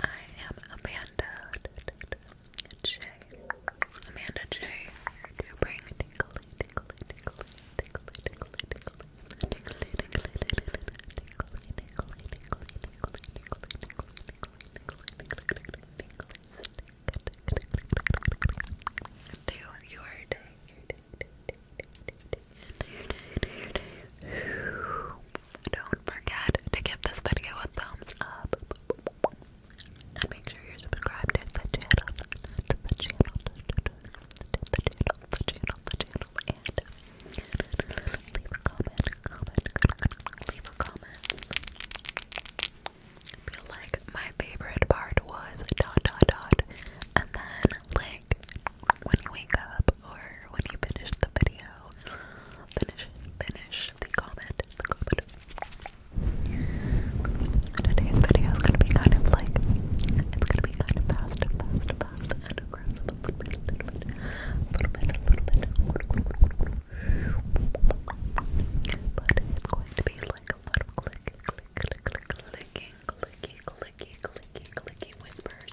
I am Amanda J. Amanda J. to bring tingly, tingly, tingly, tingly, tingly, tingly. To your day. Don't forget to give this video a thumbs up. And make sure you're subscribed to the channel, to the channel, to the channel, the channel, the channel, and leave a comment, comment, leave a comment. I like my favorite part was dot dot dot, and then like when you wake up or when you finish the video, video. Finish, finish the comment, the comment. Today's video is gonna be kind of like, it's gonna be kind of fast, fast, fast, and aggressive. A little bit, a little bit, a little bit, a little bit. But it's going to be like a lot click, click, click, click, clicking, clicky, clicky, clicky, clicky whispers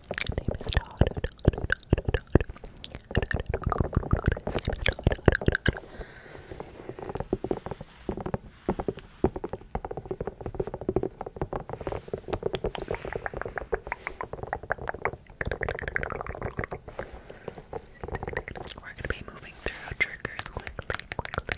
His name is Todd. Todd, Todd, Todd. His name is Todd. Todd, Todd. We're going to be moving through triggers quickly, quickly, quickly.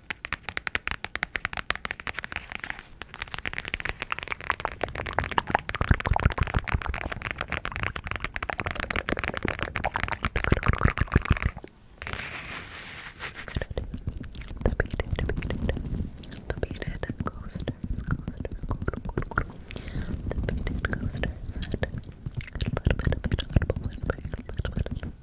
The beaded, beaded, the beaded coasters, coasters, coasters, the beaded coasters, and a little bit of audible whispering, a little bit of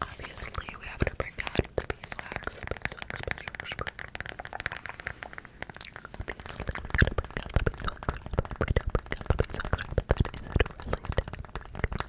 Obviously, we have to bring out the beeswax. Beeswax, beeswax, beeswax. Obviously, we gotta bring out the beeswax. We gotta bring out the beeswax. But is it really that big?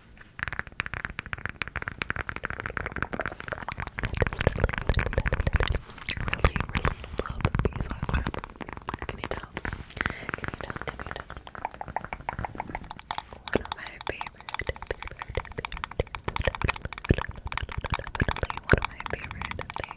really, really love beeswax wrap. Can you tell? Can you tell? Can you tell? One of my favorite, favorite, favorite, definitely one of my favorite things. Definitely one of my favorite things.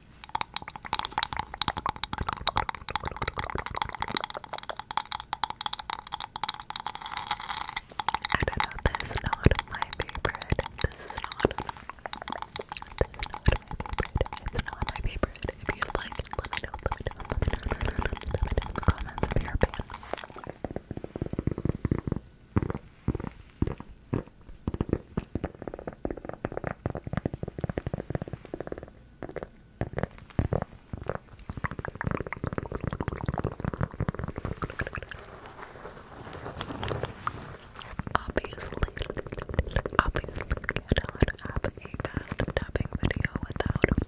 I this is not my favorite. This is not this is not my favorite. It's not my favorite. If you like let me know, let me know, let me know, in the comments Obviously, obviously, you don't have a fast tapping video without quirk,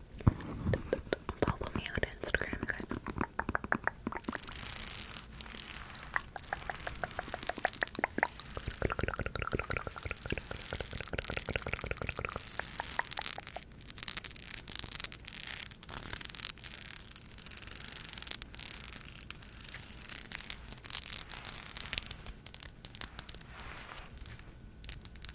Follow me on Instagram, guys.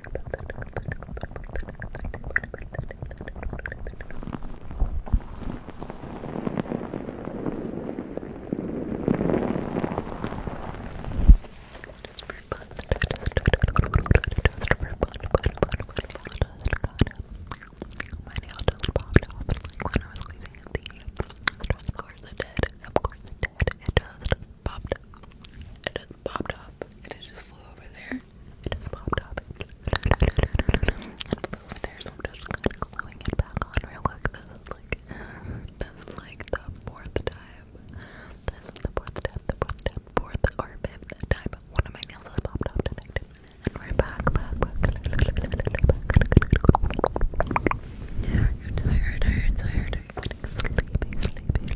My nail just popped off like when I was squeezing at the end. Of course it did. Of course it did. It just popped It just popped up. And it just flew over there. It just popped up. And flew over there. So I'm just kind of gluing it back on real quick. This is like this is like the fourth time. This is the fourth time, the fourth time, fourth or fifth time. One of my nails has popped off tonight. And we're back, back, back. back. You're tired, are you tired? Are you getting sleepy, sleepy,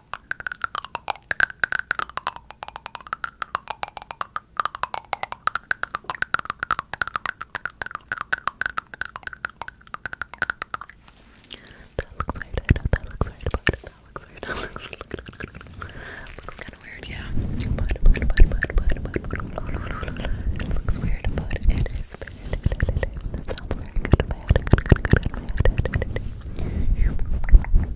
That looks weird. I know that looks weird, but that looks weird. That looks, looks kind of weird, yeah. But, but, but, but, but, but, it looks weird, but it is. That sounds very good in my head. Good, good, good in my head.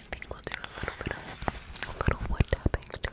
I think we'll do a little bit of a little wood tapping too.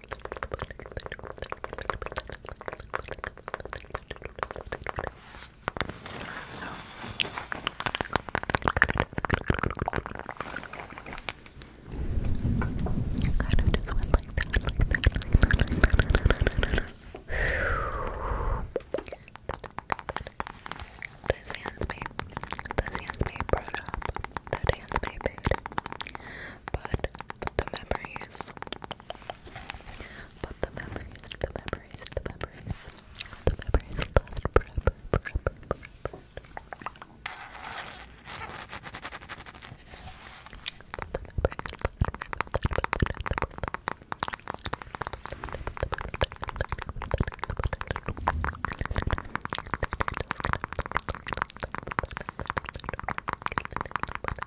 So kind of just went like that, like that, like that. This hand's made, this hand's made brought up, that hand's made big but the memories, but the memories, the memories, the memories, the memories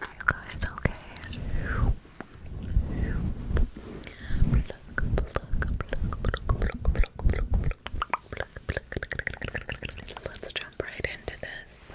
Are guys okay? Let's jump right into this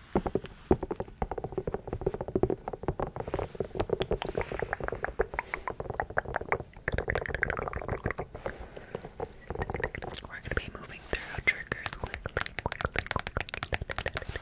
We're gonna be moving through our triggers quickly, quickly, quickly, quickly.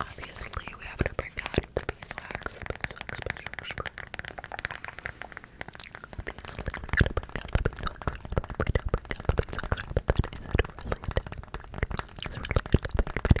Obviously, we have to bring out the beeswax. The beeswax, beeswax, Obviously, we gotta bring out the beeswax. We gotta bring out the beeswax. But is it related? Is it related to Big Betty?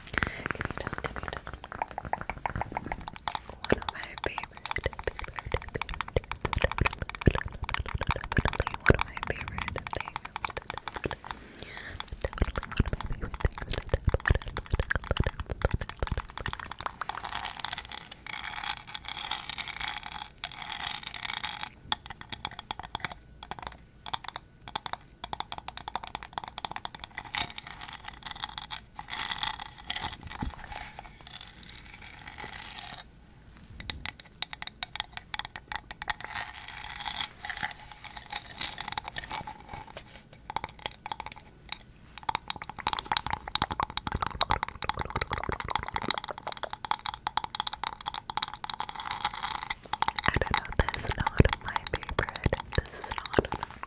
Come here down, come here down. One of my favorite, favorite, favorite, definitely one of my favorite things. Definitely one of my favorite things to do. I do know, this is not my favorite. This is not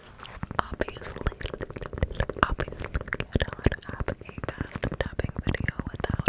Obviously, obviously, I don't have a tapping video without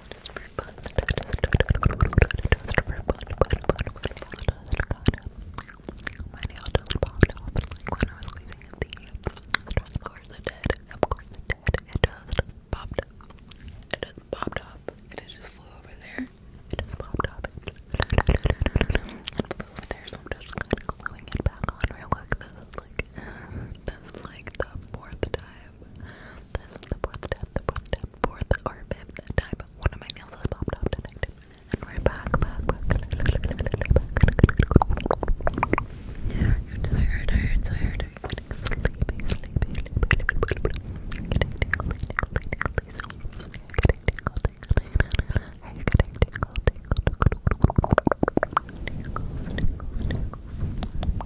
I was squeezing at the stress. Of course it did. Of course it did. It popped up. It just popped up. And it just flew over there. It just popped up. And it flew over there. So I'm just gonna gluing it back on real quick. This is like, that's like the fourth time. This is the fourth time, the fourth time, fourth or fifth time one of my nails has popped off tonight. And we're back, back, back. You're tired, are you tired? Are you getting sleepy, sleepy, sleepy? You're getting tingly, tingly, tingly. So, you're getting tingle, tingle. Are you getting tingle, tingle, tingle? Tingles, tingles, tingles.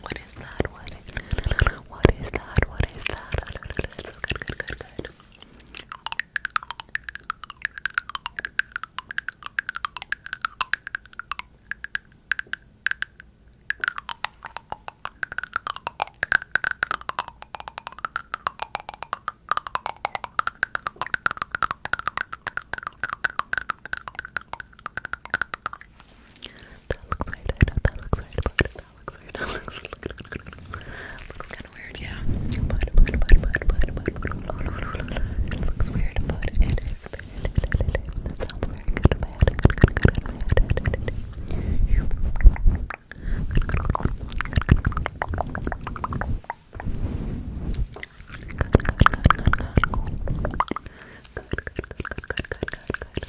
What is that? What is that? What is that? What is that? so good, good, good, good. That looks weird. I know that looks weird, but that looks weird. That looks, looks kind of weird, yeah. But, but, but, but, but, but, but, it looks weird, but it is weird. That sounds very good in my head. Good, good, good, good in my head. Good, good, good. Good, good, good, good, good, good. Good, good, good, good, good, good, good.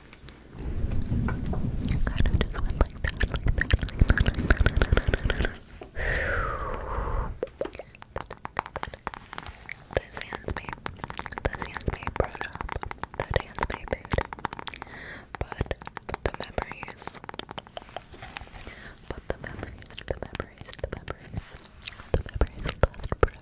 Kind of This handsmade, this handsmade product, that handsmade food. But the memories, but the memories, the memories, the memories, the memories last forever.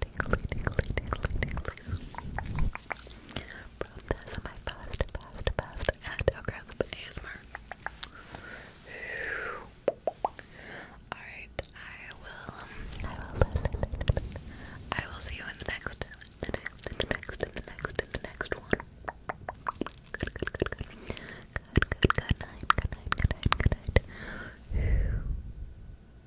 Tingly, tingly, my fast, fast, fast, and aggressive ASMR. Alright, I will, I will, see you in the next, the next, the next, the next, the next one. good night, good night, good night, good night.